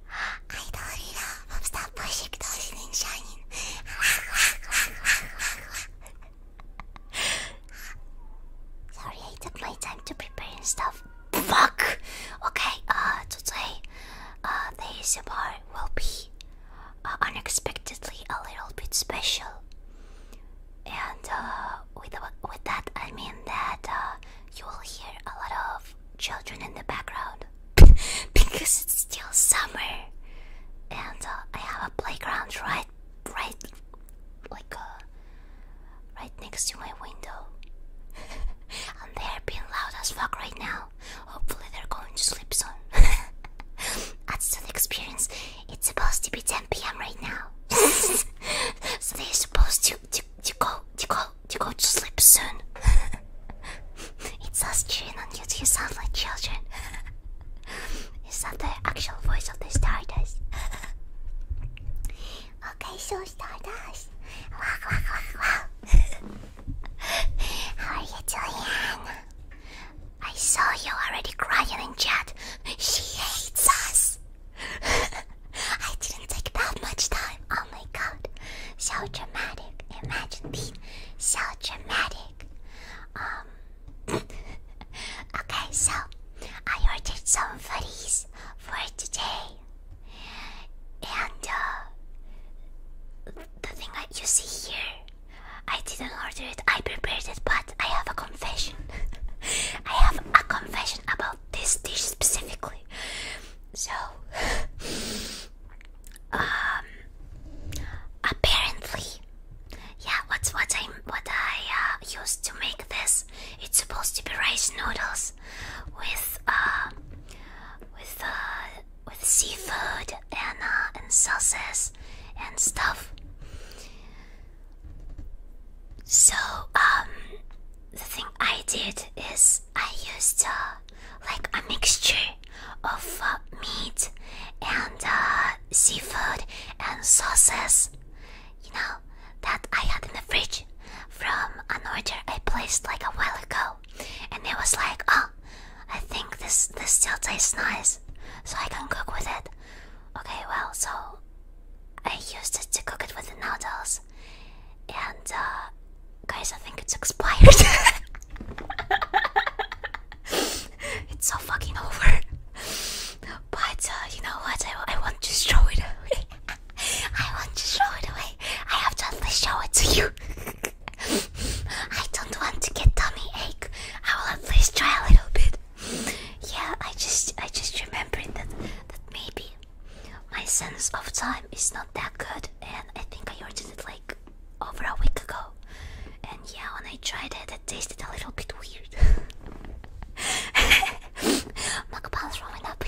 I Idolina, popstar pośik Dolinin Shining. Sorry, I took my time to prepare and stuff. Fuck! Okay, uh, today, uh, the ASMR will be uh, unexpectedly a little bit special. And, uh, with, with that, I mean that uh, you will hear a lot of children in the background because it's still summer and uh, I have a playground right right like uh, right next to my window and they're being loud as fuck right now hopefully they're going to sleep soon that's the experience it's supposed to be 10 p.m right now so they're supposed to, to to go to go you go to sleep soon. it's us cheering on you. You sound like children. Is that the actual voice of the Stardust? okay, so Stardust. Wow, wow, wow, wow. How are you doing? I saw you already crying in chat. She hates us. I didn't take that much time. Oh my god so dramatic. Imagine being so dramatic. Um. okay, so I ordered some foodies for today, and uh, the thing that you see here, I didn't order it. I prepared it, but I have a confession. I have a confession about this dish specifically. So. Um, apparently, yeah. What's what I what uh, I used to make this? It's supposed to be rice noodles with uh with uh with seafood and uh, and sauces and stuff. So um, the thing I did is I used uh, like a mixture of uh, meat and uh, seafood and sauces. You know that I had in the fridge from an order I placed like a while ago, and it was like, oh, I think this this still tastes nice, so I can cook with it. Okay, well, so I used it to cook it with the noodles and uh, guys, I think it's expired. it's so fucking over. But uh, you know what? I, I want to show it away. I want to show it away. I have to at show it to you. I don't want to get tummy ache. I will at least try a little bit. Yeah, I just I just remember that that maybe my sense of time is not that good, and I think I ordered it like over a week ago. And yeah, when I tried it, it tasted a little bit weird. Mukbang's rolling up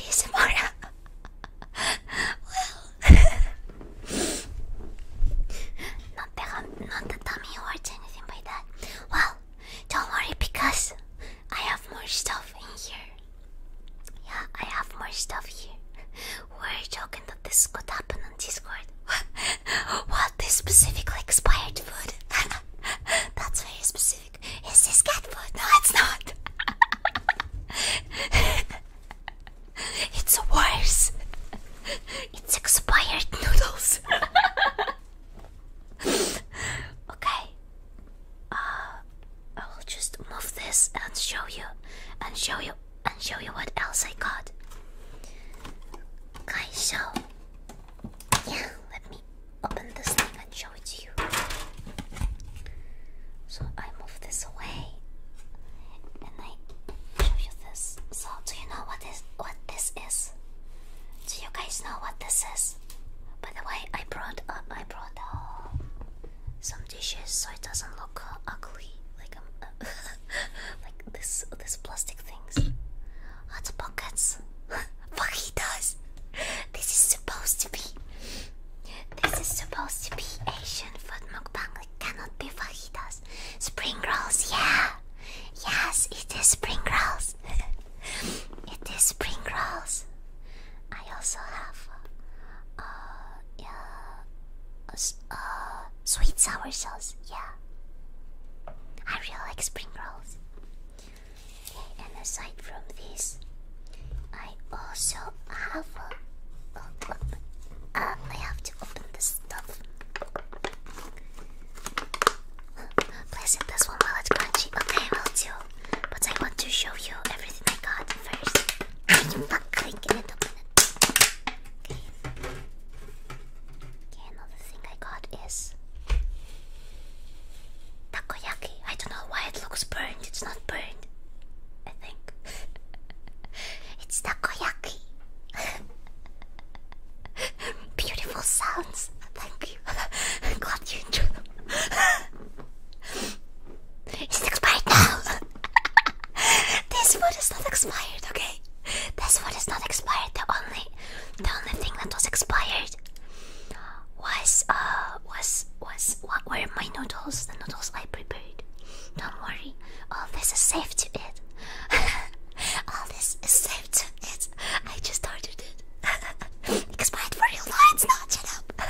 well, not that not the tummy hurts anything by that. Well, don't worry because I have more stuff in here. Yeah, I have more stuff here. We're talking that this could happen on Discord. This specifically expired food? That's very specific. Is this cat food? No, it's not. it's worse. It's expired noodles. okay. Uh, I will just move this and show you and show you and show you what else I got. Okay, so yeah, let me open this thing and show it to you. So I move this away and I show you this. So do you know what is what this is? Do you guys know what this is? By the way, I brought uh, I brought some dishes so it doesn't look uh, ugly like um, like this this plastic things. Hot pockets. Fajitas. This is supposed to be. This is supposed to be Asian food mukbang. It cannot be fajitas. Spring rolls, yeah. Yes, it is spring rolls. it is spring rolls. I also have uh, yeah. Uh, uh, sweet sour sauce, yeah. I really like spring rolls. and aside from this, I also have. A, uh, uh, I have to open this stuff. Please eat this one while it's crunchy. Okay, I will too. But I want to show you everything I got first. Okay. Okay, another thing I got is takoyaki. I don't know why it looks burned. It's not burned. I think it's takoyaki. Beautiful sounds. Thank you. glad you enjoyed. It's expired now. this food is not expired, okay? This food is not expired. The only, the only thing that was expired was uh was was what were my noodles? The noodles I prepared. Don't worry, all this is safe to eat. all this is safe to eat. I just ordered it. expired for real? No, it's not. Shut up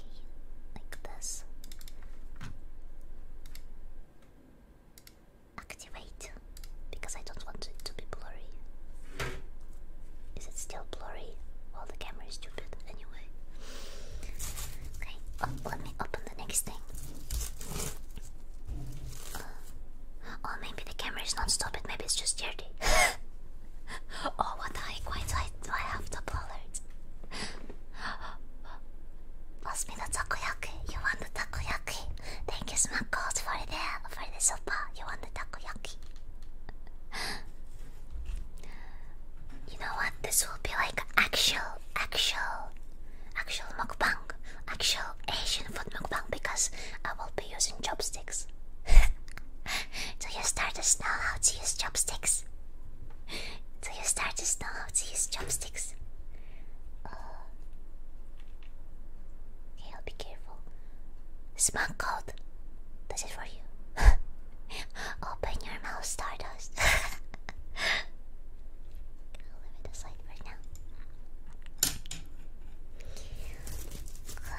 like this. Activate because I don't want it to be blurry. Is it still blurry? Well, the camera is stupid anyway. Okay, oh, let me open the next thing. Uh, oh, maybe the camera is not stopped, maybe it's just dirty. oh, what the heck? do I have the bullets? Pass me the takoyaki. You want the takoyaki? Thank you, Smuggles, for the for the sopa. You want the takoyaki? You know what? This will be like actual, actual, actual mukbang, actual Asian food mukbang because I will be using chopsticks. Do you start us now how to use chopsticks. Do you start to know how to use chopsticks? okay, oh. I'll be careful. Smug code does it for you. Open your mouth, Stardust. I'll leave it aside right now. Um.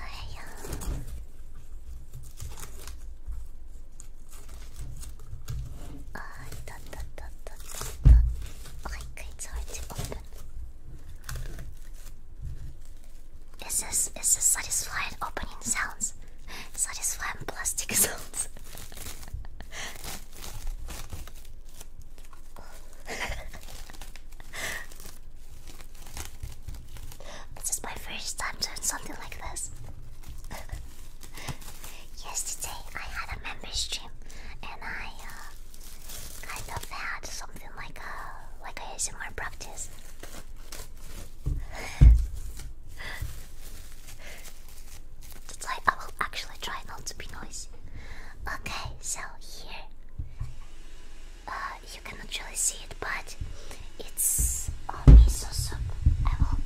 あーいたたたたたたはい、it's hard to open Is this, is this satisfying opening sounds? Satisfying plastic sounds? this is my first time doing something like this. Yesterday I had a member stream and I kind uh, of had something like a like a ASMR practice. That's why I will actually try not to be noisy. Okay, so here uh, you cannot really see it, but it's uh, miso soup. I will,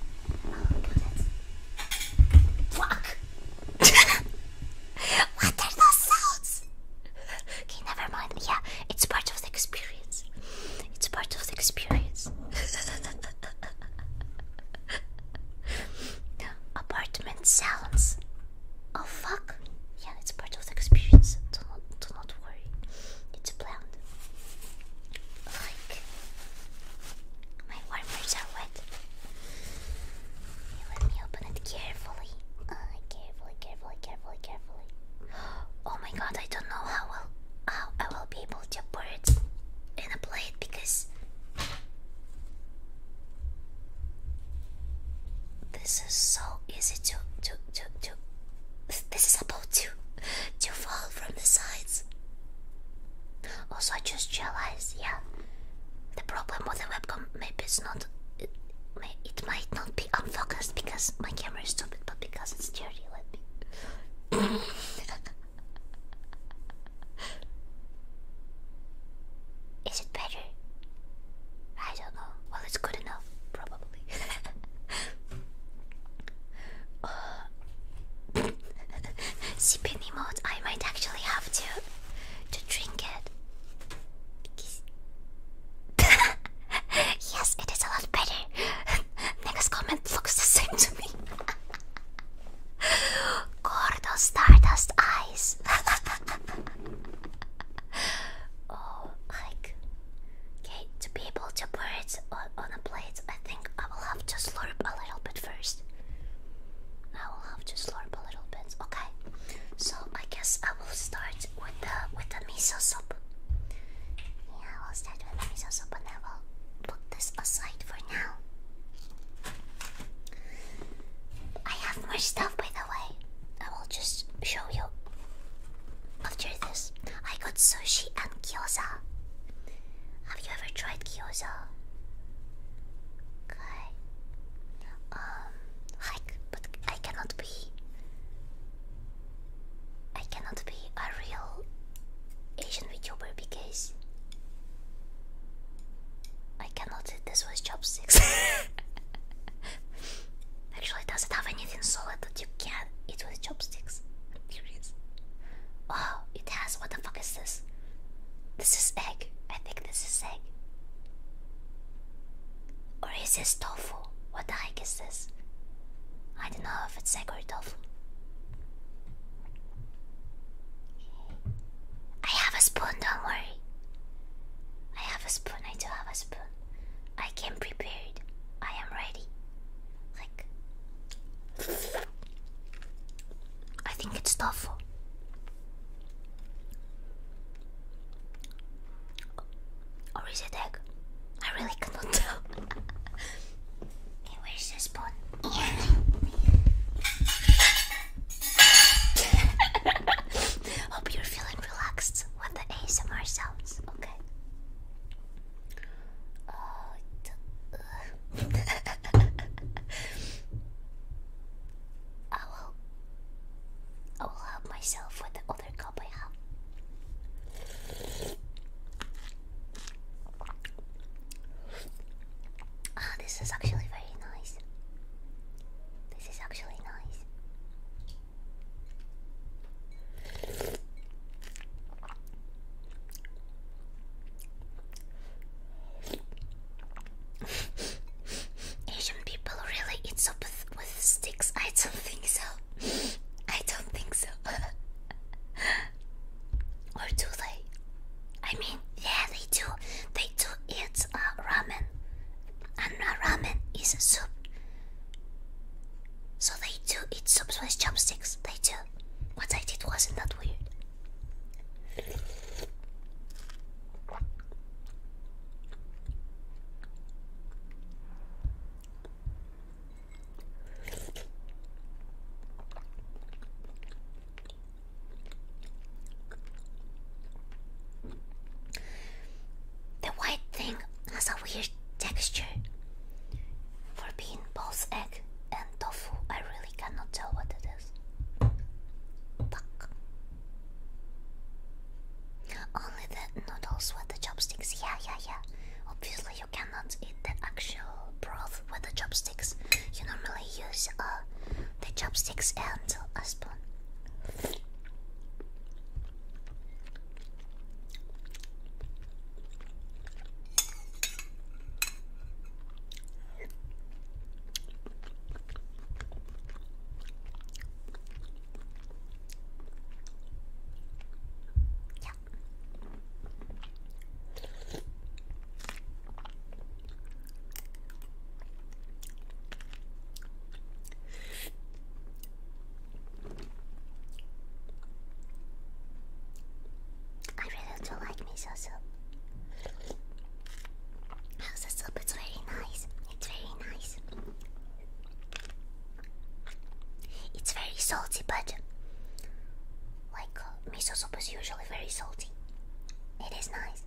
I will put it. Fuck! what are those sounds? Okay, never mind. Yeah, it's part of the experience. It's part of the experience. Apartment sounds. Oh fuck! Yeah, it's part of the experience. Do not, do not worry. It's planned. Like my warmers are wet. let me open it carefully. Uh, carefully, carefully, carefully, carefully. Oh my god, I don't know how I will be able to put it in a plate because this is so easy to to to to this is about to to fall from the sides. Also, I just realized, yeah, the problem with the webcam maybe it's not. It, it might not be unfocused because my camera is stupid, but because it's dirty, let me. is it better? I don't know. Well, it's good enough, probably. Uh, Sipping emote, I might actually have to to drink it. yes, it is a lot better. Next comment looks the same to me. Gordo Stardust eyes. oh, like, okay, to be able to pour it on, on a plate, I I will have to slurp a little bit first. I will have to slurp a little bit. Okay. So I guess I will start with the with the miso soup. Yeah, I will start with the miso soup and I will put this aside for now. I have more stuff by the way. I will just show you after this. I got sushi and gyoza. Have you ever tried gyoza? Okay. Um, like, but I cannot be. I cannot be a real Asian VTuber because I cannot. This was chopsticks. Actually, does it have anything solid that you can it was chopsticks. curious. Oh, it has. What the fuck is this? This is egg. I think this is egg. Or is this tofu? What the heck is this? I don't know if it's egg or tofu. I have a spoon, don't worry. I have a spoon, I do have a spoon. I came prepared. I am ready. I think it's tough. Or is it egg? I really cannot tell. hey, where's the spoon? Hope you're feeling relaxed with the ASMR sounds. Okay. Uh, I will. I will help myself with the other cup I have. Ah, this is actually very nice. This is actually nice. Asian people really eat soup with, sticks? I don't think so. I don't think so. or do they? I mean, yeah, they do. They do eat a uh, ramen, and a ramen is a soup. So they do eat soup with chopsticks. They do what I did wasn't that weird. The white thing has a weird texture for being both a and tofu. I really cannot tell what it is. Only the noodles with the chopsticks. Yeah, yeah, yeah. Obviously, you cannot eat the actual broth with the chopsticks. You normally use uh, the chopsticks and a spoon. Yeah. I really to like me so How's the soup? It's very nice. It's very nice. It's very salty, but like miso soup is usually very salty. It is nice.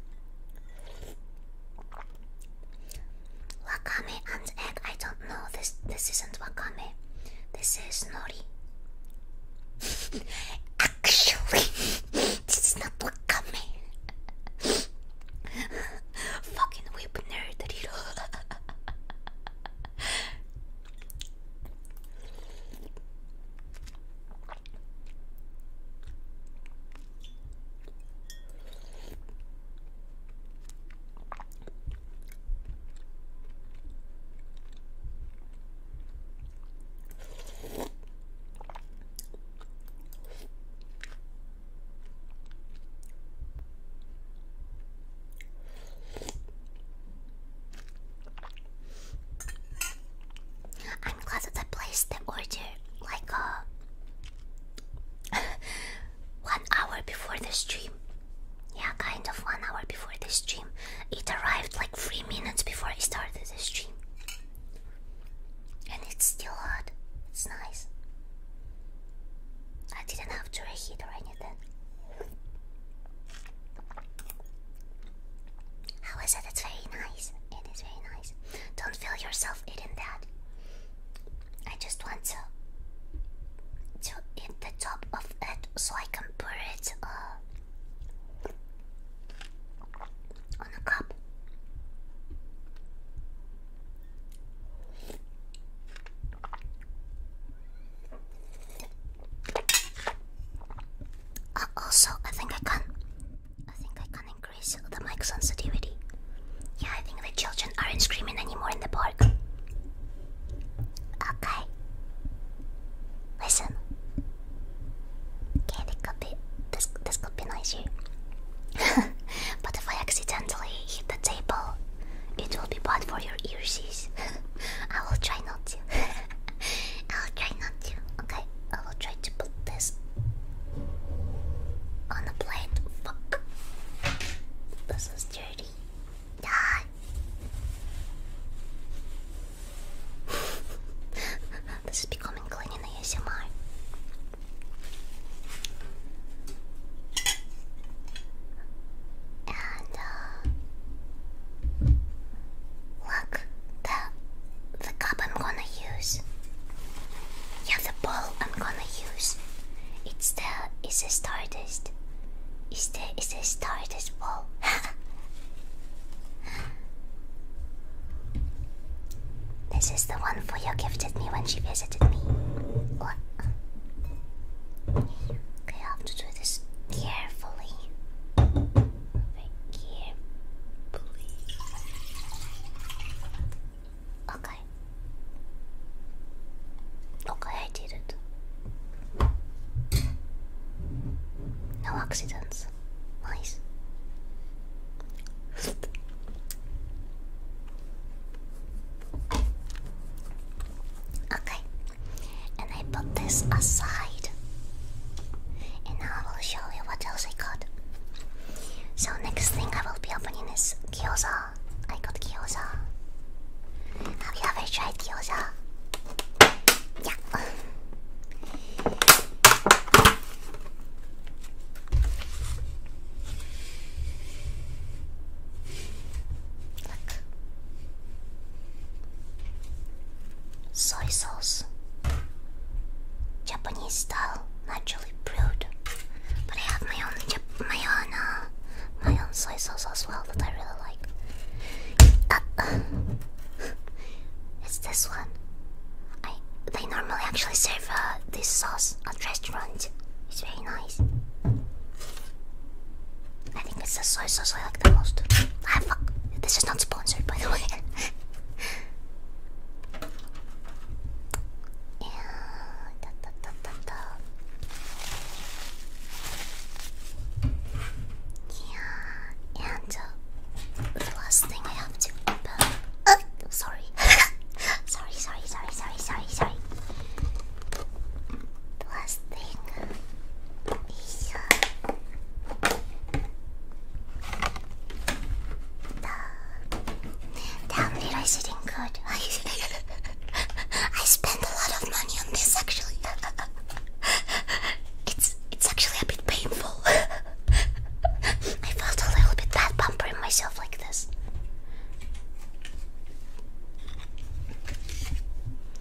Wakame and egg. I don't know. This this is this is nori. Actually, this is not wakame. Fucking whip nerd, I'm glad that I placed the order like uh, one hour before the stream. Yeah, kind of one hour before the stream. It arrived like three minutes before I started the stream. And it's still hot. It's nice. I didn't have to reheat or anything. How is it? It's very nice. It is very nice. Don't feel yourself eating that. I just want to to eat the top of it so I can pour it uh, on a cup. Uh, also, I think I can. I think I can increase the mic sensitivity. Yeah, I think the children aren't screaming anymore in the park. Okay. Listen. Okay, this could be this this could be an but if I accidentally hit the table, it will be bad for your ears. I will try not to. I will try not to. Okay, I will try to put this on the plate. This is dirty. Die. this is becoming clean in the ASMR. And uh, look, the the cup I'm gonna use. Yeah, the bowl I'm gonna use. It's the it's a stardust. Is this is this star as well? this is the one for you gifted me when she visited me. I have to do this carefully. Okay. Okay, I did it. No accidents. Nice. Okay. And I put this aside. And now I will show you what else I got. So next thing I will be opening is gyoza. I got gyoza. Have you ever tried gyoza? Yeah. Soy sauce. Japanese style, naturally brewed. But I have my own, my own, uh, my own soy sauce as well that I really like. Uh, it's this one. they normally actually serve uh, this sauce at restaurants. It's very nice. I think it's the soy sauce I like the most. Ah fuck! This is not sponsored, by the way. Yeah, and uh, the last thing I have to open. Uh, sorry. sorry, sorry, sorry, sorry, sorry, The last thing is uh, the. Damn, did I sit in good? I spent a lot of money on this actually. it's it's actually a bit painful. I felt a little bit bad bumpering myself like this.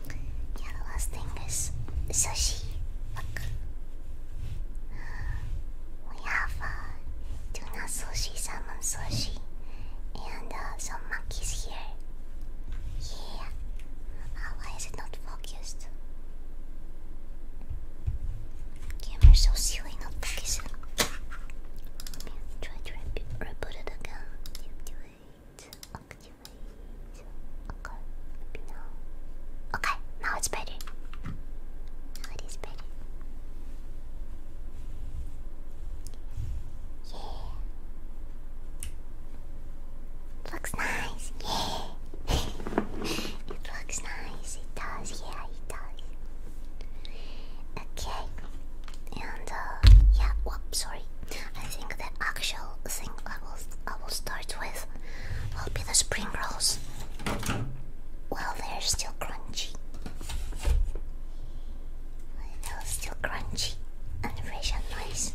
Yeah, the last thing is sushi. Look. We have uh, tuna sushi, salmon sushi, and uh, some monkeys here. Yeah. Oh, why is it not focused? Camera's so silly, not focusing. Let me try to reboot it again. Activate, activate. Okay, now it's better. Now it is better. Yeah. Looks nice, yeah. it looks nice, it does, yeah, it does. Okay, and uh, yeah, whoops, sorry. I think the actual thing I will I will start with will be the spring rolls. Well, they're still crunchy. They're still crunchy animation noise.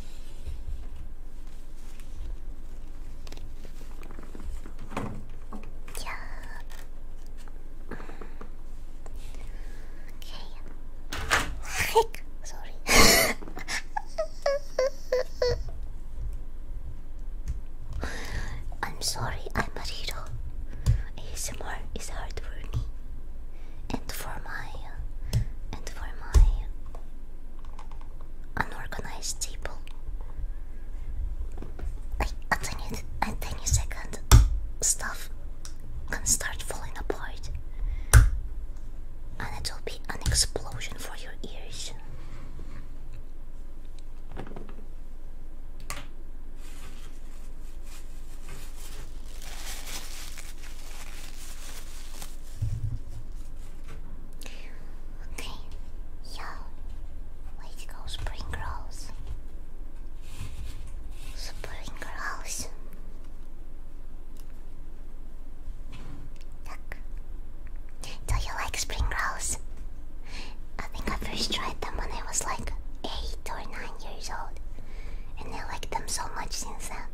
Yeah. Okay. Heck, sorry. I'm sorry, I'm a hero. ASMR is hard for and for my and for my unorganized table. Like a tiny, a tiny second, stuff can start falling apart, and it will be an explosion for your ears. Okay, yo, let's spring rolls. Spring rolls. Do you like spring rolls? I think I first tried them when I was like 8 or 9 years old. And I liked them so much since then.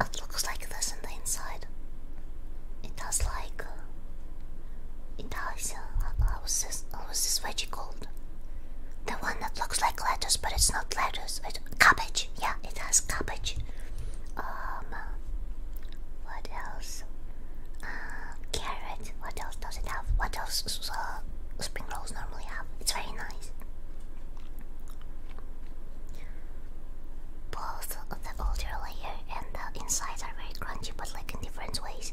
It looks like this on the inside. It has like. Uh, it has. Uh, how is this, this veggie called? The one that looks like lettuce, but it's not lettuce. It's cabbage. Yeah, it has cabbage. Um, what else? Uh, carrot. What else does it have? What else uh, spring rolls normally have? It's very nice. Both the outer layer and the insides are very crunchy, but like in different ways.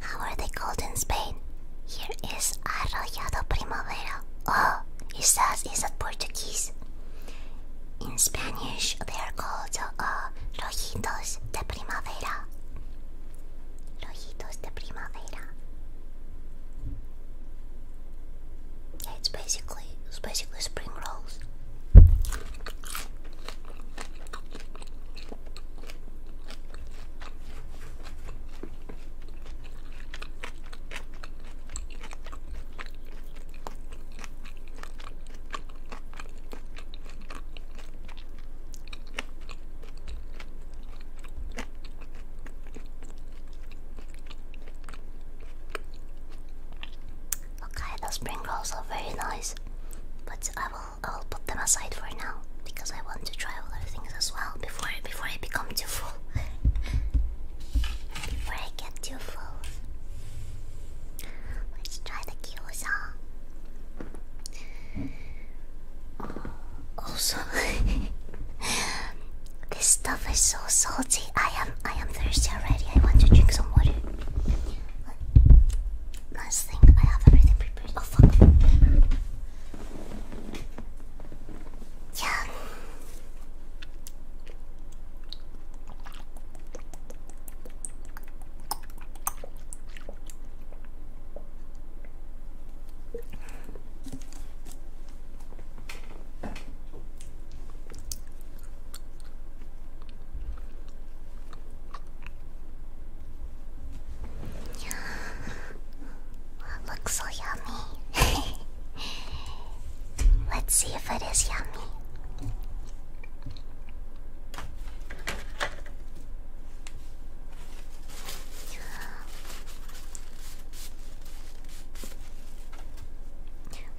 How are they called in Spain? Here is Arrollado Primavera. Oh, it says it's Portuguese. In Spanish, they are called uh, Rojitos de Primavera. Rojitos de Primavera. It's basically basically it's basically spring rolls. Okay, those spring rolls are very nice, but I will I will put them aside for now because I want to try other things as well before before I become too full. before I get too full, let's try the gyoza. Oh, also, this stuff is so salty. I am I am thirsty already. I want to drink some water. Last thing, I have everything prepared. Oh fuck. Yeah. Yeah. Well, looks so yummy. Let's see if it is yummy.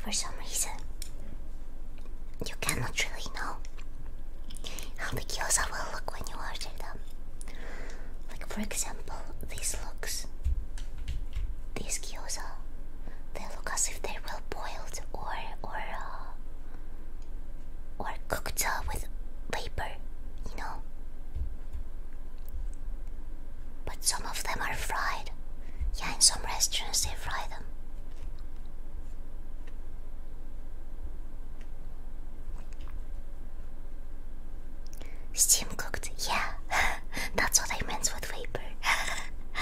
For some reason, you cannot really know how the gyoza will look when you order them. Like for example, these looks, these gyoza, they look as if they were well boiled or or uh, or cooked uh, with vapor, you know. But some of them are fried. Yeah, in some restaurants they fry them. Steam cooked, yeah, that's what I meant with vapor.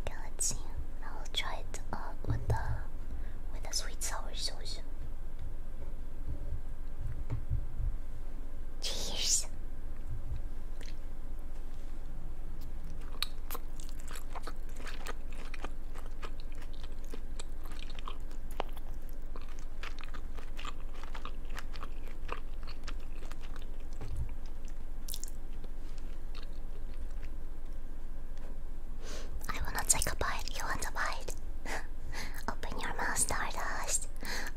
okay, let's see. I'll try it uh, with the with the sweet sour sauce. Cheers. I will not take a bite. You want a bite? Open your mouth, Stardust.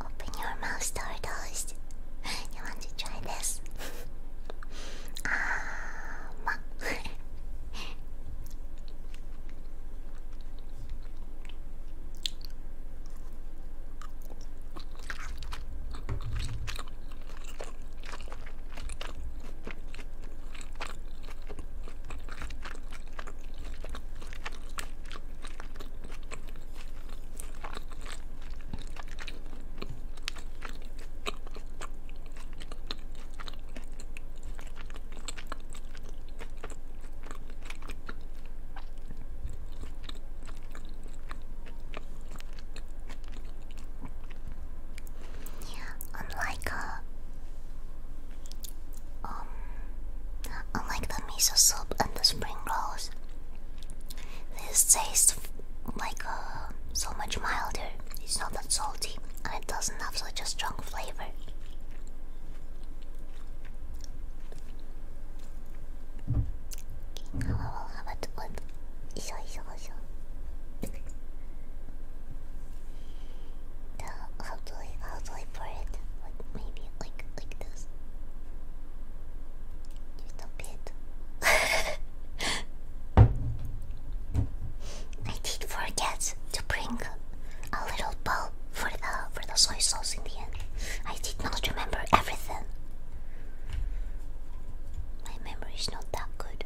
Open your mouth, Stardust. You want to try this? ah, Unlike a uh, um, unlike the miso soup and the spring rolls, this tastes like uh, so much milder. It's not that salty, and it doesn't have such a strong flavor. Okay, now I will it with iso iso How do I how do I pour it? Like maybe like like this. Just a bit. I did forget to bring a little bowl for the for the soy sauce in the end. I did not remember everything. My memory is not that good.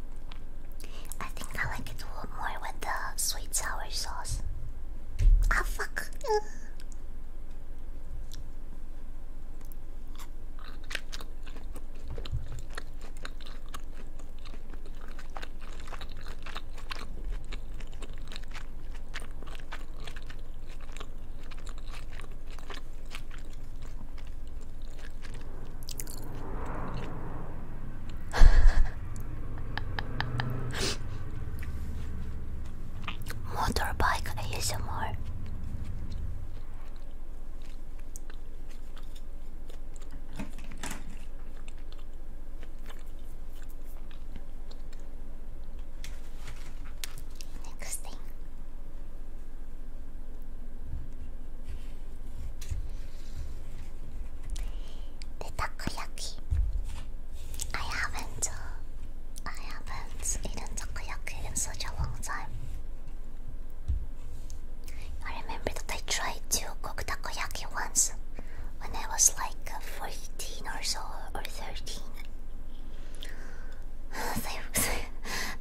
I think I like it more with the sweet sour sauce. Ah, fuck. Motorbike ASMR. Next thing. The takoyaki. I haven't, uh, I haven't eaten takoyaki in such a long time. I remember that I tried to cook takoyaki once when I was like uh, 14 or so or 13. they,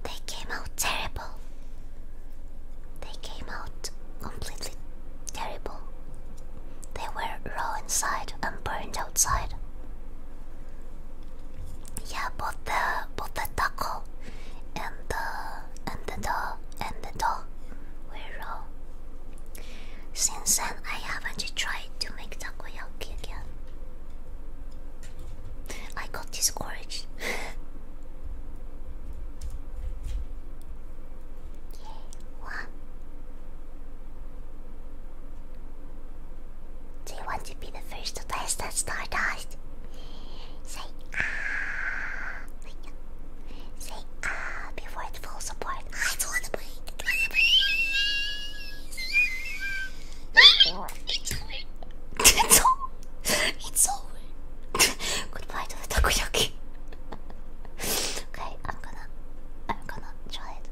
they came out terrible. They came out completely terrible. They were raw inside and burned outside. Yeah, both the both the taco and the and the dough and the dough were raw. Since then, I haven't tried to make takoyaki again. I got discouraged. What? Do you want to be the first to taste that stardust? Say ah, say ah before it falls apart. I do be. It's over. It's over. It's over. Goodbye to the takoyaki. okay, I'm gonna, I'm gonna try it.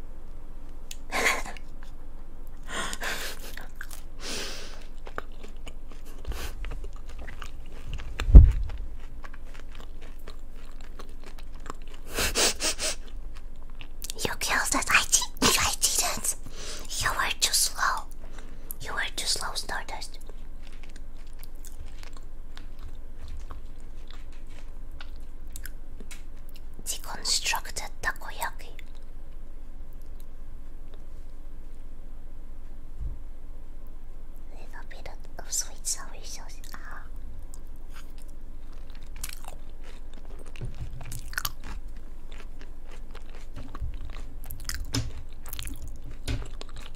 you killed us. I did. I didn't. You were too slow. You are too slow, Stardust. Deconstructed takoyaki. Little bit of, sweet sour sauce. Ah.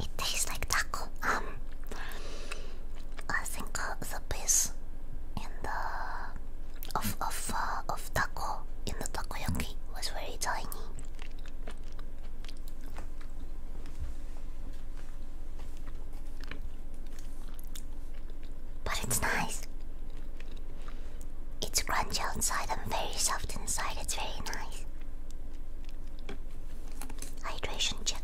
It tastes like taco. Um, I think uh, the piece in the of of uh, of taco in the taco yaki was very tiny. But it's nice. It's crunchy outside and very soft inside. It's very nice. Hydration check.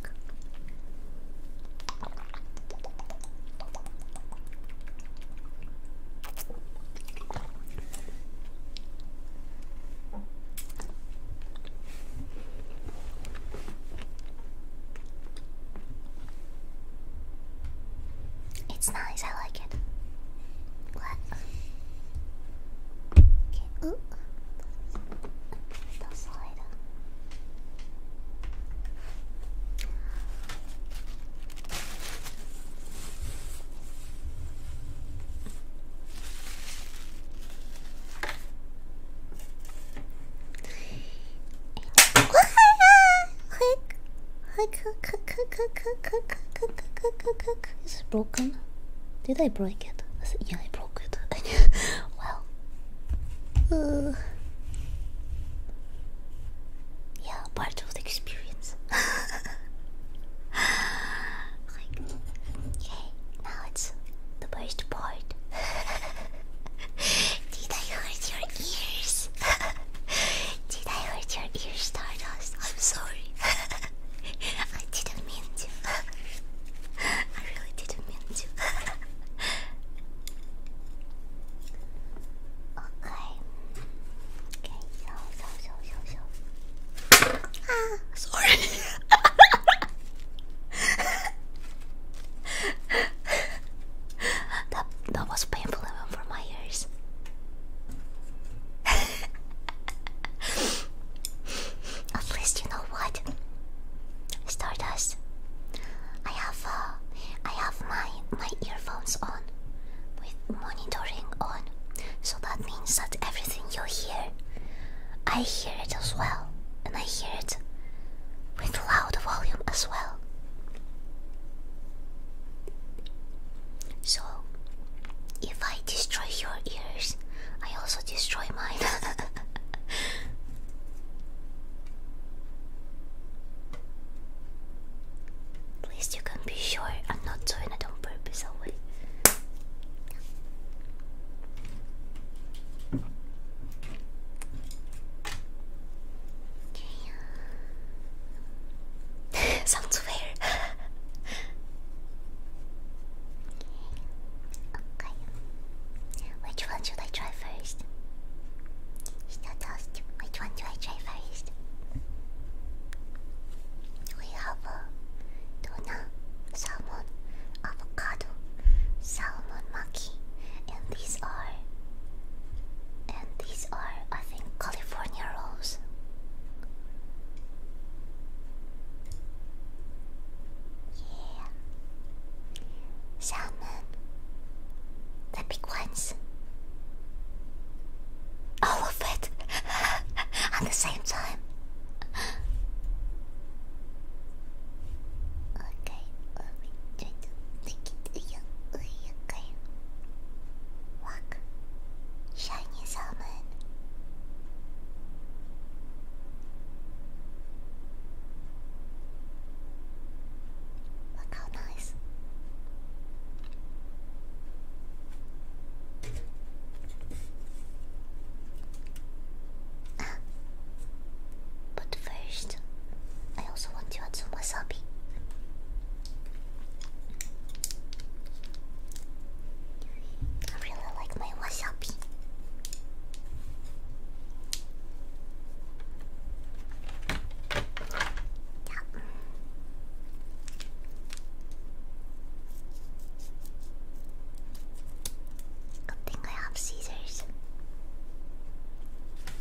It's nice, I like it. What? Okay, ooh. Is it broken? Did I break it? yeah, I broke it. well, uh, yeah, part of the experience. okay, now it's the worst part. Did I hurt your ears? Did I hurt your ear, Stardust? I'm sorry. I didn't mean to. I really didn't mean to. okay. Okay, Ah, sorry that that was painful even for my ears. At least you know what, Stardust. I have uh, have my my earphones on, with monitoring on, so that means that everything you hear, I hear it as well, and I hear it with loud volume as well. So, if I destroy your ears, I also destroy mine. At least you can be sure I'm not doing it on purpose Okay. Sounds weird. okay. Which one should I try first? Which one do I try first? We have a tuna, salmon, avocado, salmon maki, and these are and these are, I think, California rolls. Yeah. Salmon. The big ones. All of it at the same time. Okay, let me try to make it. Okay. Walk. Shiny salmon. Look how nice. But first, I also want to add some wasabi. I really like my wasabi. Yeah. Good thing I have scissors.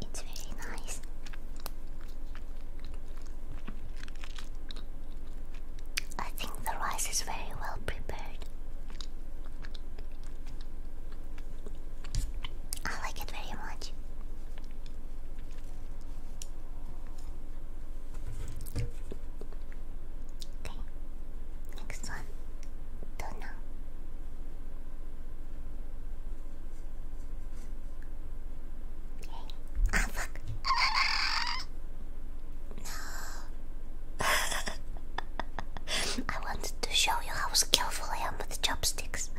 It's very nice. I think the rice is very well prepared. I like it very much. Okay. Next one. Donna. Okay. Ah, fuck. No. I wanted to show you how skillful I am with chopsticks.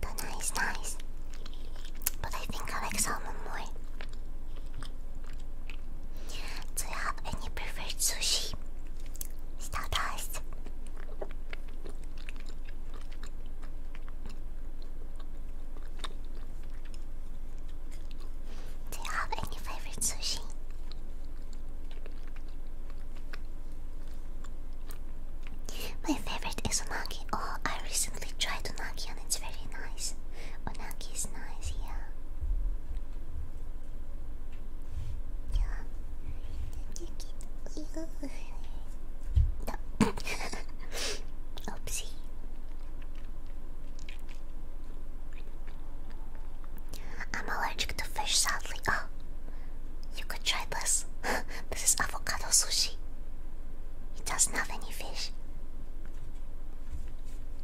The nice, nice. But I think I like salmon more. Do you have any preferred sushi? Stardust. Do you have any favorite sushi? My favorite is unagi. Oh, I recently tried unagi and it's very nice. Unagi oh, is nice, yeah. Oopsie. I'm allergic to fish, sadly. Oh, you could try this. this is avocado sushi. It doesn't have any fish.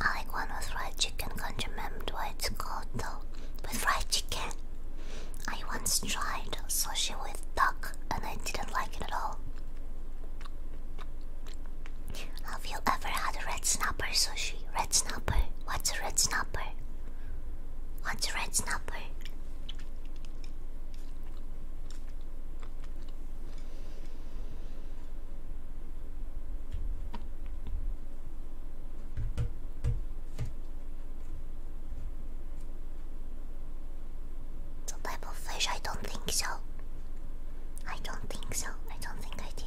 I like one with fried chicken. Can't White what it's called though. With fried chicken, I once tried sushi with duck, and I didn't like it at all. Have you ever had a red snapper sushi? Red snapper? What's a red snapper? What's a red snapper? The Bible flesh, I don't think so. I don't think so. I don't think I did.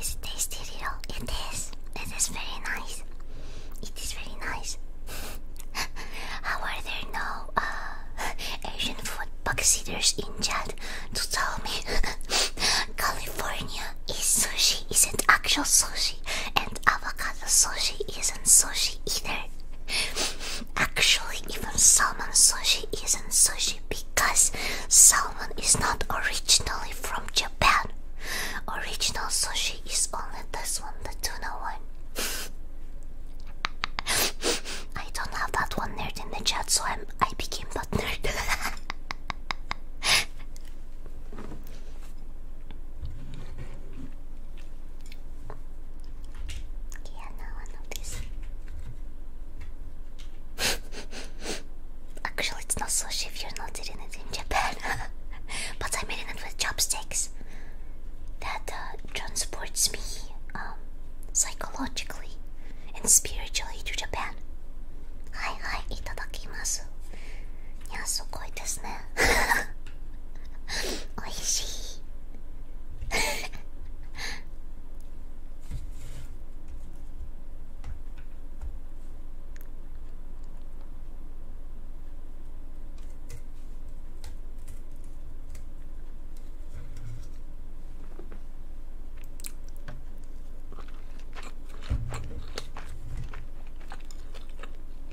Is tasty, Riro? It is. It is very nice. It is very nice. How are there no uh, Asian food bookseaters in chat to tell me California is sushi, isn't actual sushi, avocado sushi isn't sushi either. Actually, even salmon sushi isn't sushi because salmon is not originally from Japan. Original sushi is only this one, the tuna one. I don't have that one nerd in the chat, so I'm, I became that nerd. Actually, it's not sushi if you're not eating it in Japan. but I'm eating it with chopsticks. That uh, transports me um, psychologically and spiritually to Japan. Hi, hi, itadakimasu. いや、すごいですね。ねおいしい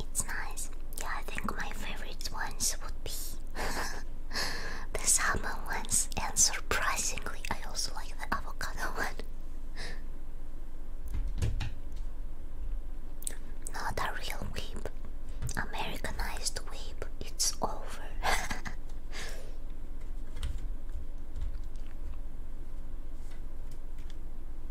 It's nice. Yeah, I think my favorite ones would be the salmon ones, and surprisingly, I also like the avocado one. Not a real weep, Americanized weep. It's over.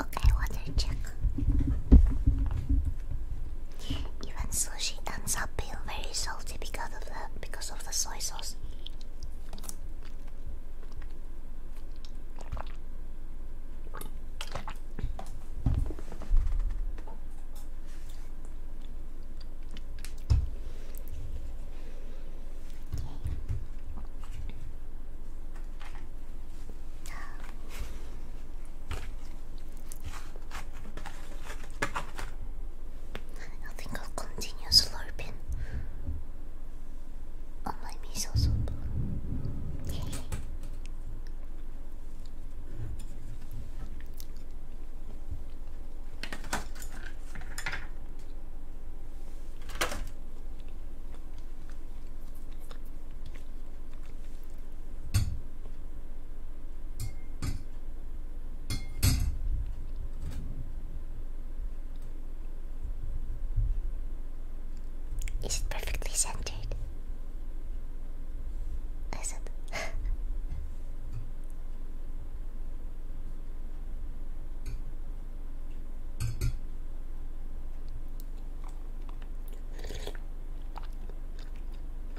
Okay, water check. Even sushi ends up being very salty because because of the soy sauce. Okay. I think I'll continue slurping on my miso soup. Is it perfectly centered? Is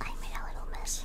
I made a little mess.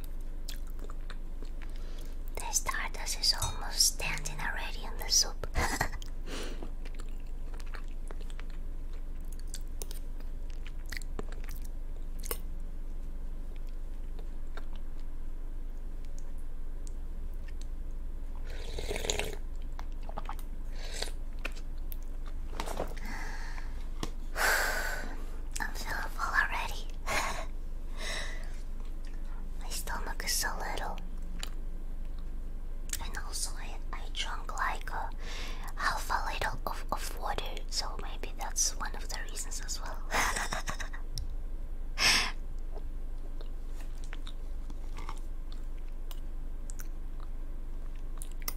The stardust is almost standing already in the soup. I'm feeling full already. My stomach is so little. And also I, I drank like a half a liter of, of water, so maybe that's one of the reasons as well.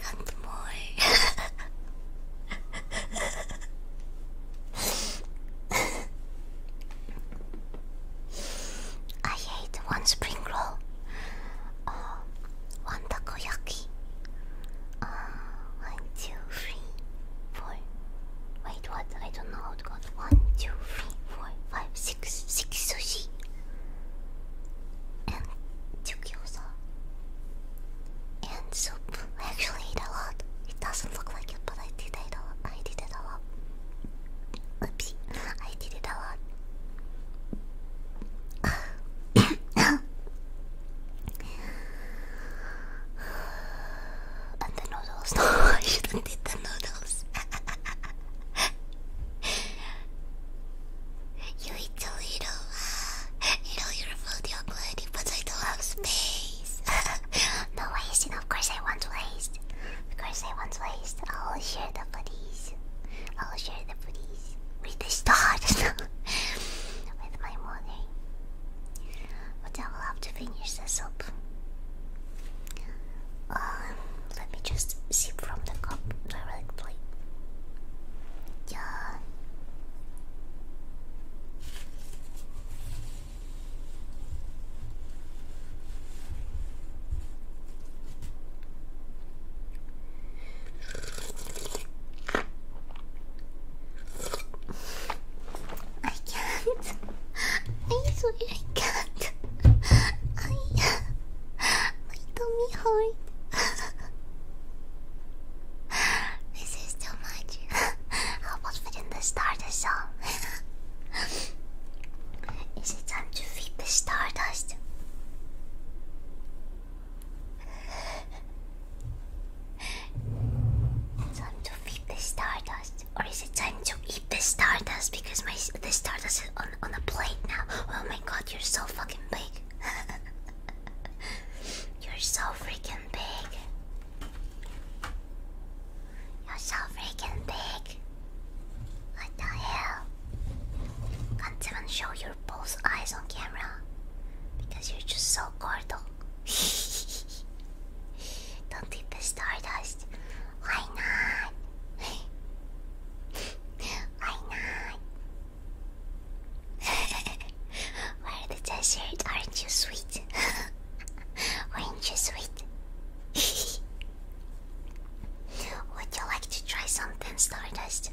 I'm more. I ate one spring roll uh, one takoyaki. Uh, one, two, three, four. Wait, what? I don't know how to One, two, three, four, five, six, six sushi. And two gyoza. And soup. I actually ate a lot. It doesn't look like it, but I did eat a lot. I did it a lot. Oopsie. I I did it a lot. and the noodles. I shouldn't eat the noodles. you eat a little. You know you're good, but I don't have space. no wasting, of course I want to waste. Of course I want to waste. I'll share the foodies. I'll share the foodies with the stars with my money. But I will have to finish the soup. Um, let me just sip from the cup directly. Yeah. I can't. I swear I can't. I. My tummy hurt. this is too much. How about we the song? Is it time to feed the stardust? Time to feed the stardust, or is it time to eat the stardust? Because my the stardust is on on a plate now. Oh my god, you're so fucking big. you're so freaking big. You're so freaking big. What the hell? Can't even show you both eyes on camera because you're just so cordial. Don't eat the stardust. Why not? Why not? Where the desert? Aren't you sweet? Aren't you sweet? Would you like to try something, Stardust?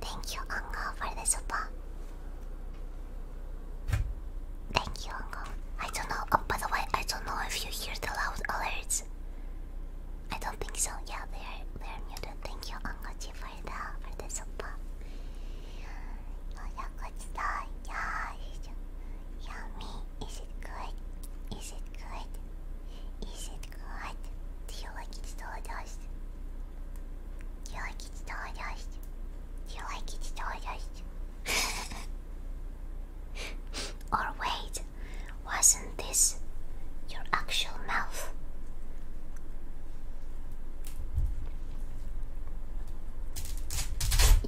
Thank you, Uncle, for the super. Thank you, Uncle. I don't know. Oh, by the way, I don't know if you hear the loud alerts. I don't think so. Yeah, they're they're muted. Thank you, Uncle G, for the for the super. Oh yeah, good stuff. Yeah, yummy. Is it good? Is it good? Is it good? Do you like it, Stardust? you like it's delicious? Do you like it's delicious? or wait, wasn't this your actual mouth?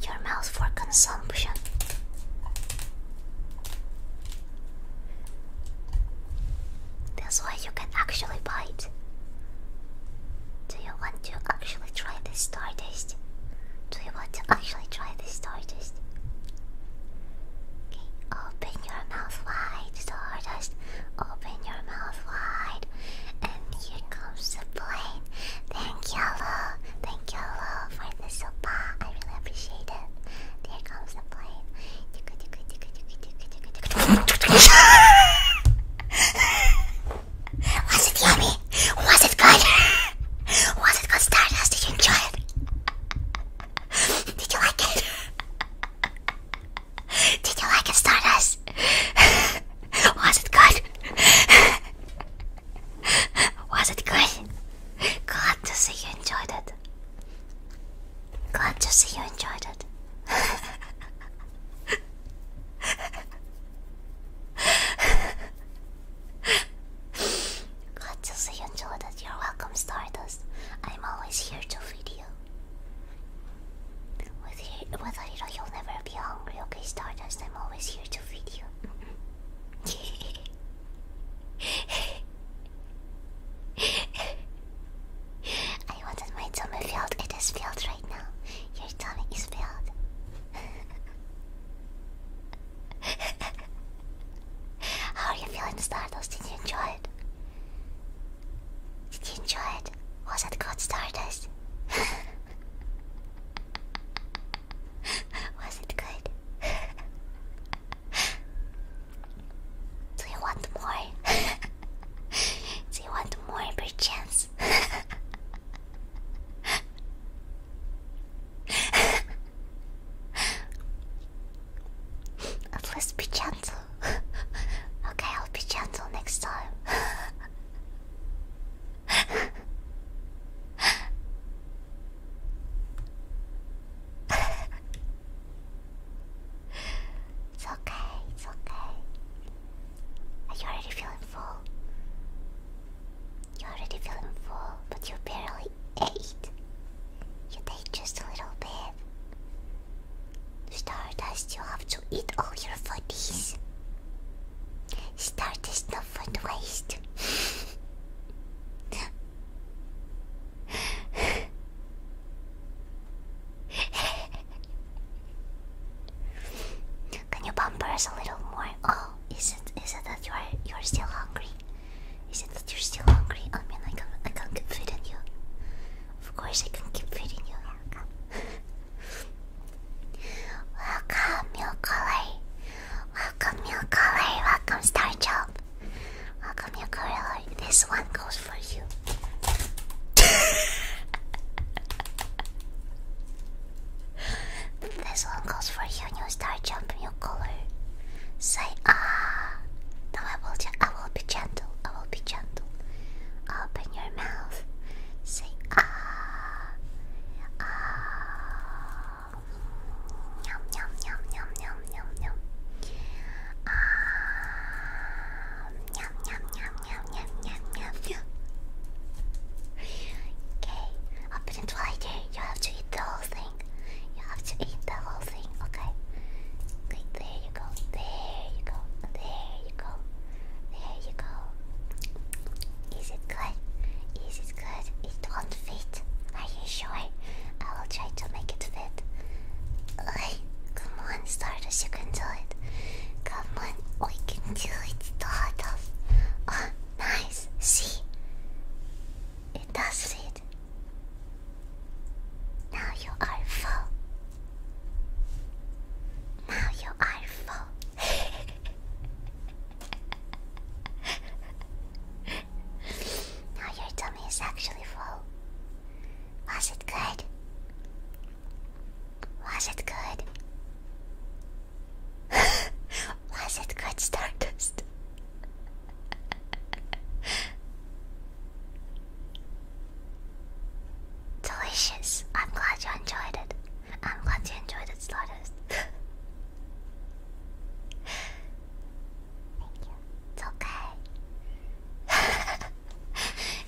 Your mouth for consumption. That's why you can actually bite. Do you want to actually try this Stardust? Do you want to actually try the Stardust? Okay, open your mouth wide, Stardust. Open your mouth wide. And here comes the plane. Thank you, Lo. Thank you, Lo, for the sopa. I really appreciate it. There comes the plane. Was it yummy? Was it good? Was it good Stardust? Did you enjoy it? Did you like it? Did you like it Stardust? Was it good? Was it good? Glad to see you enjoyed it. Glad to see you enjoyed it. Glad to see you enjoyed it. You're welcome, Stardust. I'm always here to feed you. With here, with you'll never be hungry, okay, Stardust? I'm always here to feed you. I wanted my tummy filled. It is filled right now. Your tummy is filled. How are you feeling, Stardust? Did you enjoy it? Did you enjoy it? Was it good, Stardust? Was it good? Do you want more? Do you want more perchance? At least be gentle. okay, I'll be gentle next time it's okay, it's okay. Are you already feeling full? You're already feeling full, but you barely ate. You ate just a little bit. Stardust, you have to eat all your foodies. Stardust, no food waste. Can you pamper a little more? Oh, is it is it that you are you're still hungry? Is it that you're still hungry? I mean, I can not I can not keep feeding you. Of course, I can keep feeding you. welcome, milk color. Welcome, milk color. Welcome, star job. Welcome, Yakarelli. This one goes for you. this one goes for you, You start jumping, your color. Say ah. Now I will, I will be gentle. I will be gentle. Open your mouth. Say ah. Ah. Yum, yum, yum, yum, yum, yum, yum. Okay, open it wider. You have to eat the whole thing. You have to eat the whole thing, Okay, there you go. There you go. There you go. There you go. Is it good? Is it good? It won't fit. Are you sure? I will try to make it fit. Come on, start Stardust, you can do it. Come on, we can do it, Stardust. Oh, nice. See? It does it. Now you are full. Now you are full. now your tummy is actually full. Was it good? Was it good? Was it good, Stardust? Delicious. I'm glad you enjoyed it. I'm glad you enjoyed it, Stardust. Thank you. It's okay.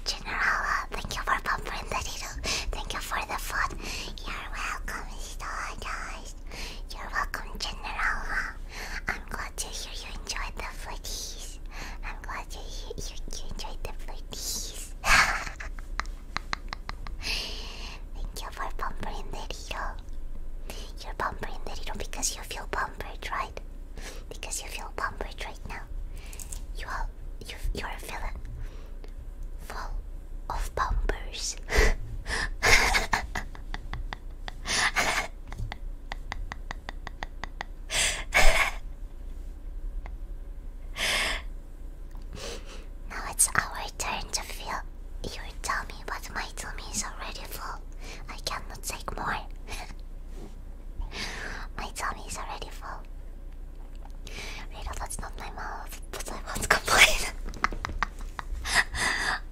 General, uh, thank you for bumping the needle. Thank you for the food. You're welcome, guys. You're welcome, General. Uh. I'm glad to hear you enjoyed the foodies. I'm glad to hear you, you enjoyed the foodies. thank you for bumping the needle. You're bumping the needle because you feel bumpered, right? because you feel pampered right now. You are you you're a villain full of bumpers. now it's our turn to feel You tell me what my tummy is already full. I cannot take more. my tummy's already full. Rita, that's not my mouth, but I won't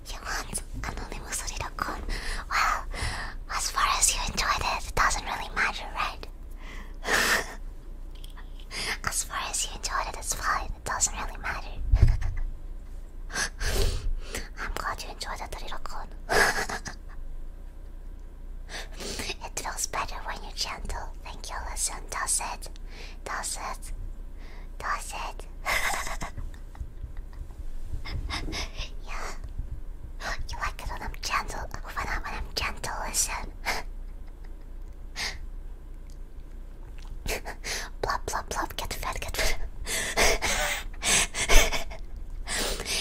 you want anonymous Rita-kun? Well, as far as you enjoyed it, it doesn't really matter, right? as far as you enjoyed it, it's fine. It doesn't really matter. I'm glad you enjoy that little trirocon. it feels better when you're gentle. Thank you, listen. Does it? Does it? Does it? yeah. You like it when I'm gentle. When I'm, when I'm gentle, listen. blop, blop, blop. Get fat, get fat.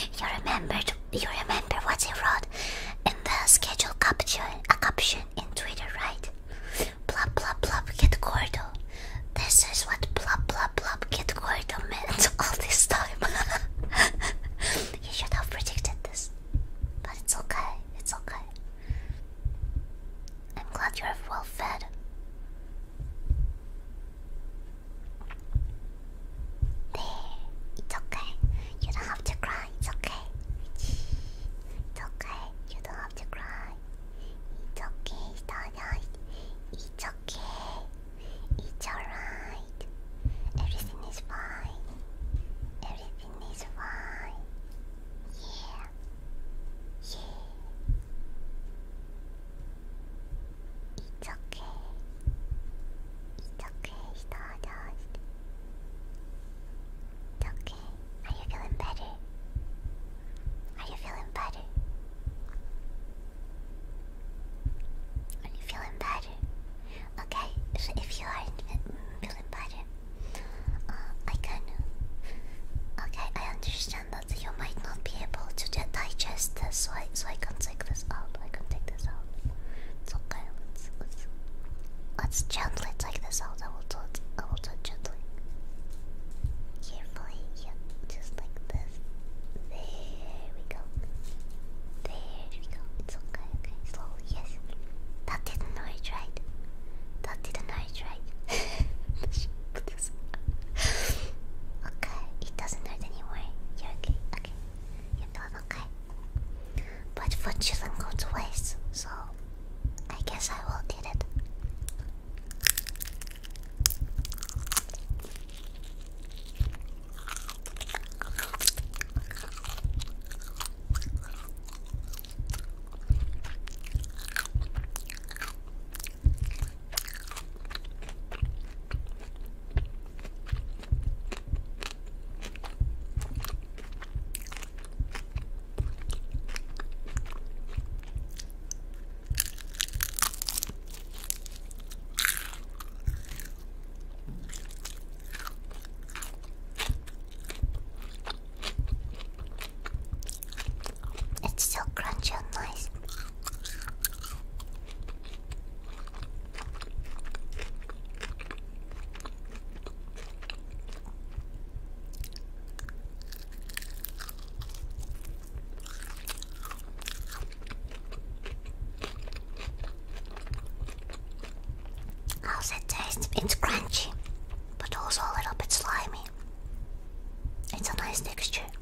You remembered you remember what he wrote in the schedule caption a caption in Twitter, right? Blub blub blub get Gordo. This is what blub blub blub get Gordo meant all this time. you should have predicted this. But it's okay, it's okay. I'm glad you're well fed. There, it's okay. You don't have to cry. It's okay. It's okay. You don't have to cry. It's okay, Starlight. It's okay. It's alright. Everything is fine. Everything is fine. Yeah. Yeah. It's okay. It's okay, Stardust. It's okay. Are you feeling better? Are you feeling better? Are you feeling better? Okay, so if you aren't feeling better, uh, I can. Okay, I understand that you might not be able to digest this, so I, so I can take this out. I can take this out. It's okay. Let's, let's, gently take this out. I will do it. I will do it gently. Carefully, yeah, just like this. There we go. There we go. It's okay, okay. Slowly, yes. That didn't hurt, right? That didn't hurt, right? okay, it doesn't hurt anymore. You're okay. Okay, you feel okay. But food shouldn't to waste, so I guess I will eat it. It's so crunchy and nice. How's it taste? It's crunchy, but also a little bit slimy. It's a nice texture.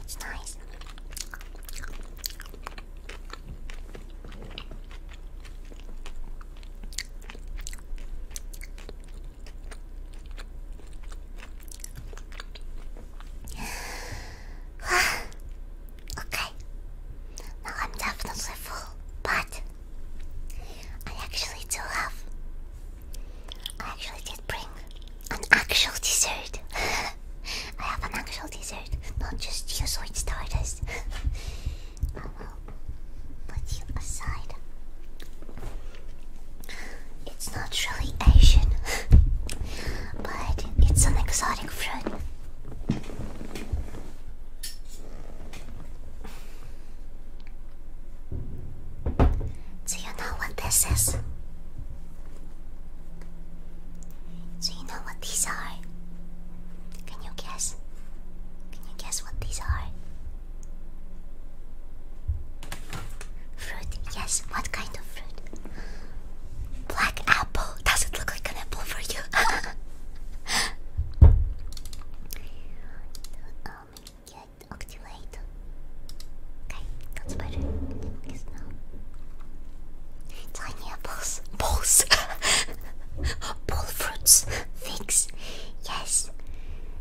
It's nice. okay. Now I'm definitely full, but I actually do have I actually did bring an actual dessert. I have an actual dessert, not just you sweet starters. I will put you aside. It's not really Asian, but it's an exotic fruit. Do you know what this is? Do you know what these are? Can you guess? Can you guess what these are? Fruit, yes. What kind of fruit? Black apple. Does it look like an apple for you? Octulate. Okay, that's better. Focus Tiny apples. Balls. Ball fruits. Figs. Yes.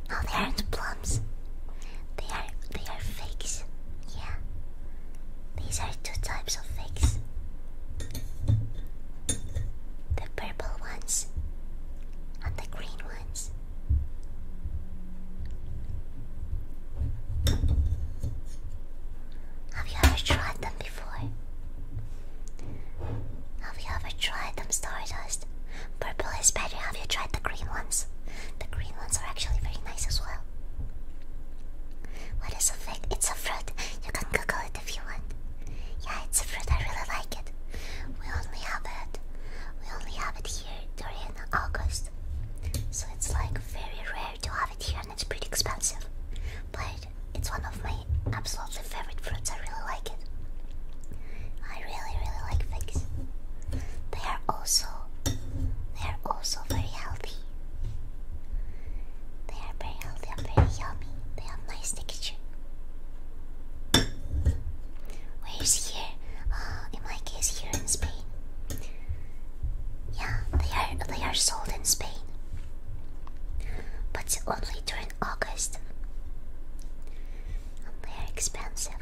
No, they aren't plums. They are they are figs. Yeah. These are two types of figs. The purple ones and the green ones. Have you ever tried them before? Have you ever tried them, Stardust? Purple is better. Have you tried the green ones? The green ones are actually very nice as well. What is a fig? It's a fruit. You can Google it if you want. Yeah, it's a fruit. I really like it. We only have it. We only have it here during August, so it's like very rare to have it here and it's pretty expensive. But it's one of my absolutely favorite fruits, I really like it. I really really like figs. They are also they are also very healthy. They are very healthy and very yummy. They have nice texture. Where's here? Uh, in my case, here in Spain. Yeah, they are they are sold in Spain, but only during August. they are expensive.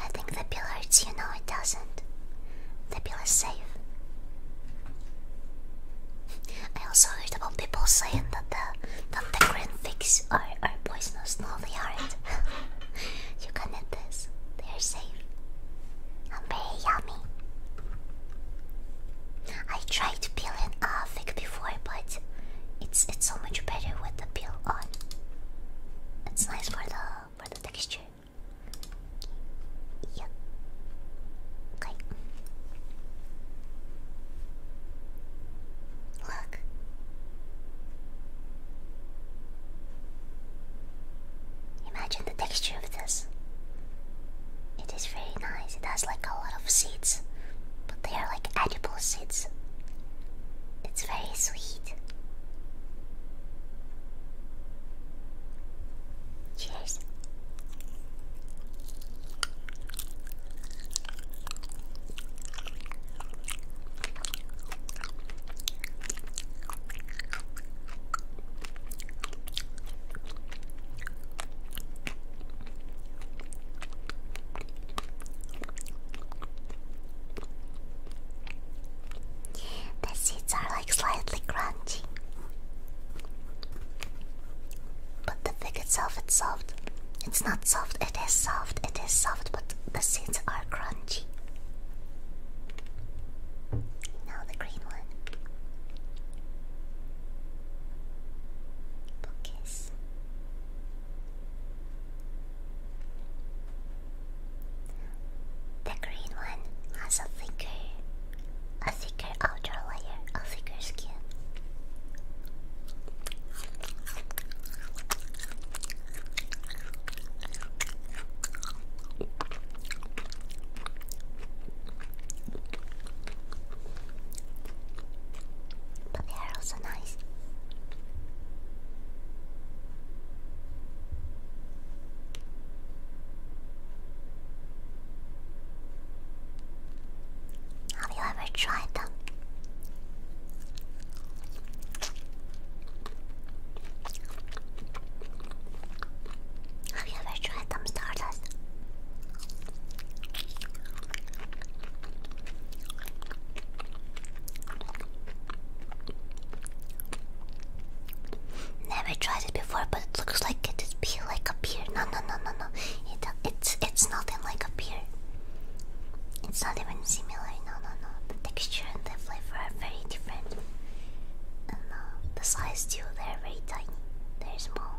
I think the pill hurts you. know it doesn't. The pill is safe. I also heard about people saying that the that the green fix bees are, are poisonous. No, they aren't. you can eat this. They are safe and very yummy. I tried to peel an avocado before, but it's it's so much better with the peel on. It's nice for the for the texture. Yeah. Okay. Look. Imagine the texture of this. It is very nice. It has like a lot of seeds, but they are like edible seeds. It's very sweet. Cheers. The seeds are like slightly crunchy, but the fig itself is soft. It's not soft, it is soft, it is soft, but the seeds are crunchy. Now the green one. Focus. The green one has a thicker, a thicker outer layer, a thicker skin. But they are also nice. Have you ever tried them? Have you ever tried some stardust? Never tried it before, but it looks like it is be like a beer. No, no, no, no, no. It, it's it's nothing like a beer. It's not even similar. No, no, no. The texture and the flavor are very different. And uh, the size too. They're very tiny. They're small.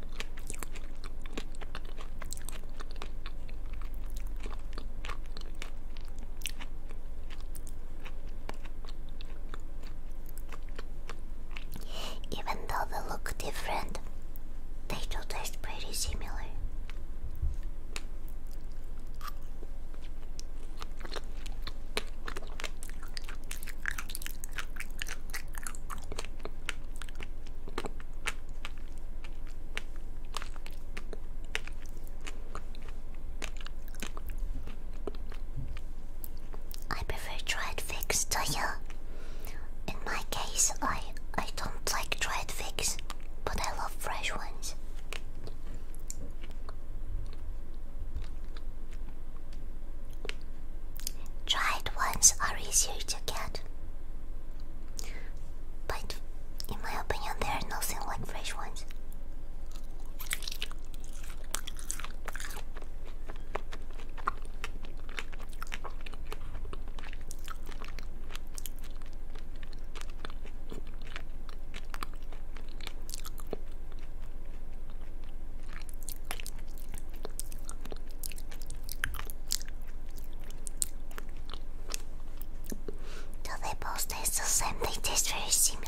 Even though they look different, they do taste pretty similar. I prefer dried figs to you. In my case, I I don't like dried figs, but I love fresh ones. Dried ones are easier to get. But in my opinion, there are nothing like fresh ones. Do they both taste the same? They taste very similar.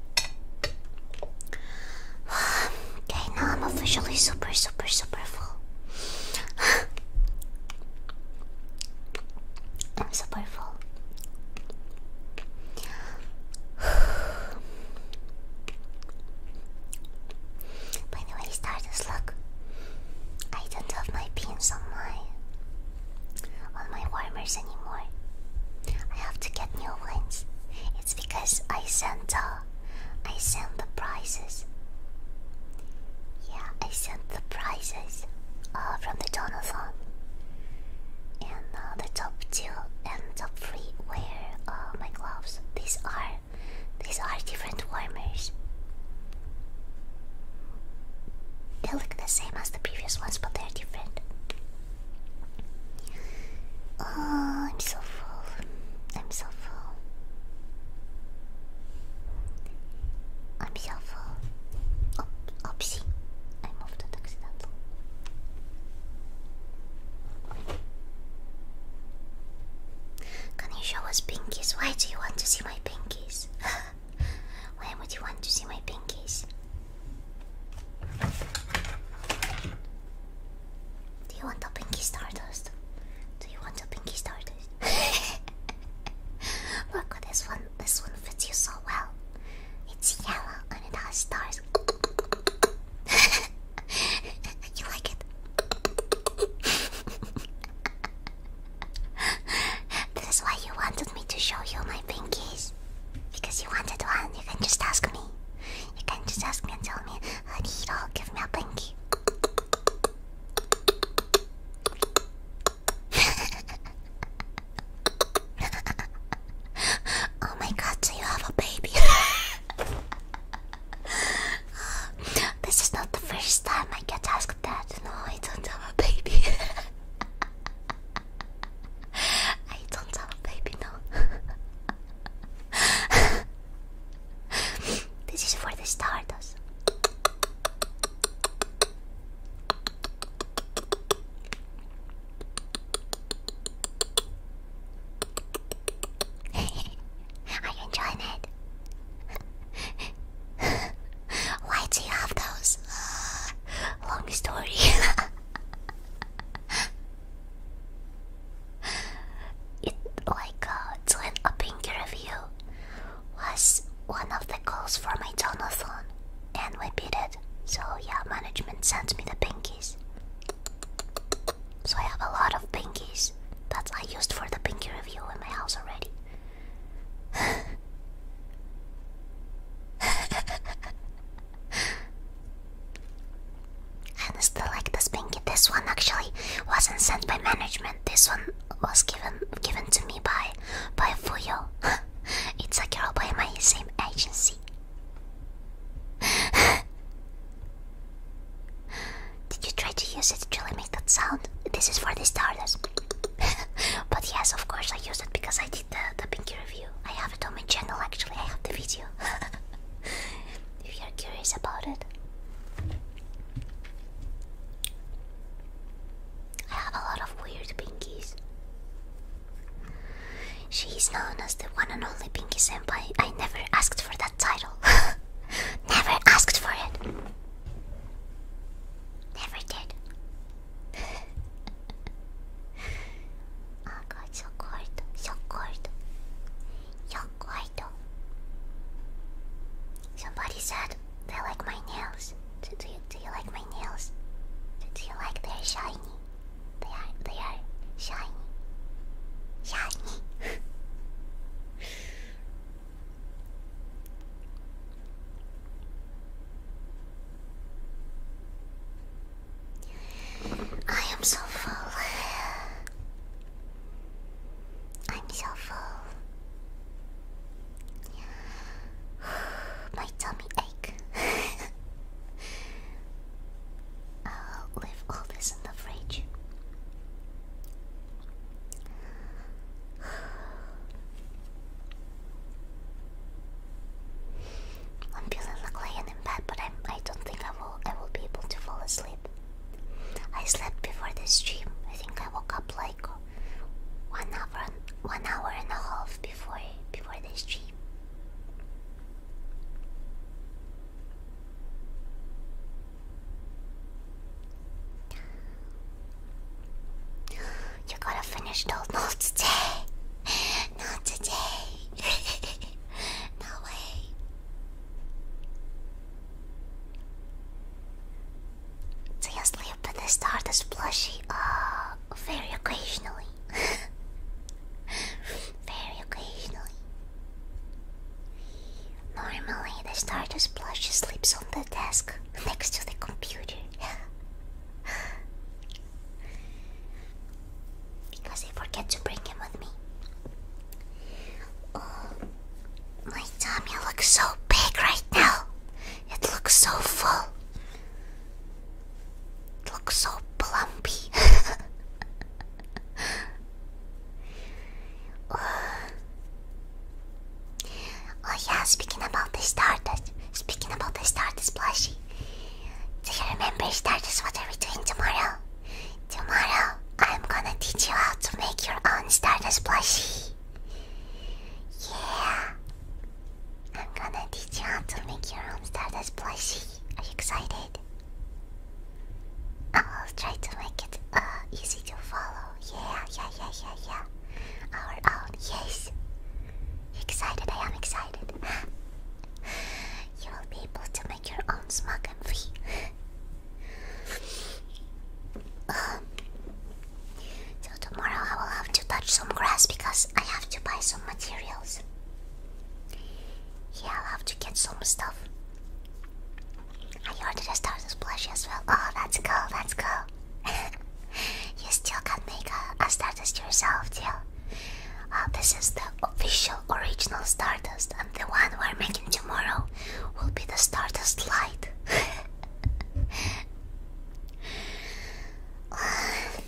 okay, now I'm officially super, super, super full. I'm super full. By the way, Stardust, look. I don't have my pins on my on my warmers anymore. I have to get new ones. It's because I sent uh, I sent the prizes. Yeah, I sent the prizes uh, from the donathon, and uh, the top two and top three wear uh, my gloves. These are these are different warmers. They look the same as the previous ones, but they're different. Oh, I'm so full. I'm so full. I'm so full. Oh, oopsie. I moved it accidentally. Can you show us pinkies? Why do you want to see my pinkies? Why would you want to see my pinkies? Do you want a pinky stardust? Do you want a pinky stardust? Look, this one this one fits you so well. It's yellow and it has stars. you like it? this why you wanted me to show you my pinkies. Because you wanted one, you can just ask me. You can just ask me and tell me, Hiro, give me a pinky. oh my god, so you have a baby. this is not the first time I get asked that. No, I don't have a baby. I don't have a baby now. this is where the stars. Are you it? Why do you have those? Uh, long story. it like uh, to an review was one of the goals for my donathon, and we beat it. So yeah, management sent me the pinkies. So I have a lot of pinkies that I used for the pinky review in my house already. I still like this pinky. This one actually wasn't sent by management. This one was given given to me by by Fuyo. it's a girl by my same agency. Did you try to use it to really make that sound? This is for the starters. but yes, of course I used it because I did the, the pinky review. I on my channel actually, I have the video. if you're curious about it, I have a lot of weird pinkies. She is known as the one and only Pinky Senpai. I never asked for that title. never asked for it. Never did. Oh god, so cold, so cold, so cold. Somebody said they like my nails. Do, you do you like my nails? Do, do you like they're shiny? They are they are shiny, shiny. I am so full. I'm so full. My tummy ache. I'll leave all this in the fridge. I'm feeling like laying in bed, but I'm, I don't think I will I will be able to fall asleep. I slept before this stream. I think I woke up like one hour one hour and a half before before this stream. You gotta finish those not today. Not today. no way. They asleep but they start plushie uh, very occasionally. very occasionally. Normally, the starter's plushie sleeps on the desk next to the computer. because they forget to bring him with me. Oh, my tummy looks so big right now. It looks so full. It looks so plumpy. Oh. oh. yeah, speaking about the Stardust, speaking about the Stardust plushie, do you remember that is what are we doing tomorrow? Tomorrow I'm gonna teach you how to make your own Stardust plushie. Yeah. I'm gonna teach you how to make your own Stardust plushie. Are you excited? I'll try to make it uh, easy to follow. Yeah, yeah, yeah, yeah, yeah. Our own, yes. Excited, I am excited. you will be able to make your own smug MV. um, so tomorrow I will have to touch some grass because I have to buy some materials. Yeah, I'll have to get some stuff. I ordered a Stars and Splash as well. Oh, that's cool, that's cool. you still can make a, a yourself, too. Uh, this is the official original Stardust, and the one we're making tomorrow will be the Stardust Light. Uh,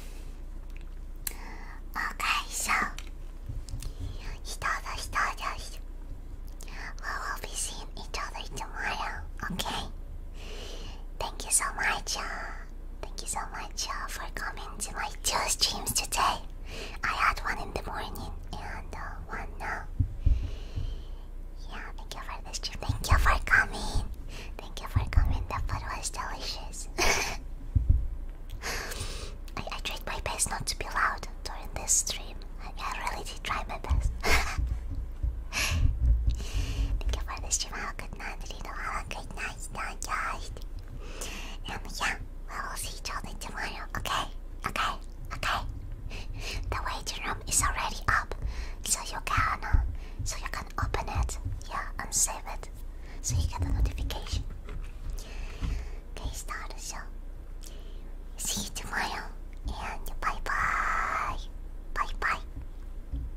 okay, so. We will be seeing each other tomorrow, okay? Thank you so much. Uh, thank you so much uh, for coming to my two streams today. I had one in the morning and uh, one now. Yeah, thank you for the stream. Thank you for coming. Thank you for coming. The food was delicious. I, tried my best not to be loud during this stream. I, really did try my best. Thank you for the stream. Have a good night, Rito. Have a great night. Night, and yeah, we'll see each other tomorrow. Okay, okay, okay. the waiting room is already up, so you can, so you can open it, yeah, and save it, so you get a notification. Okay, start the show. See you tomorrow, and bye bye, bye bye.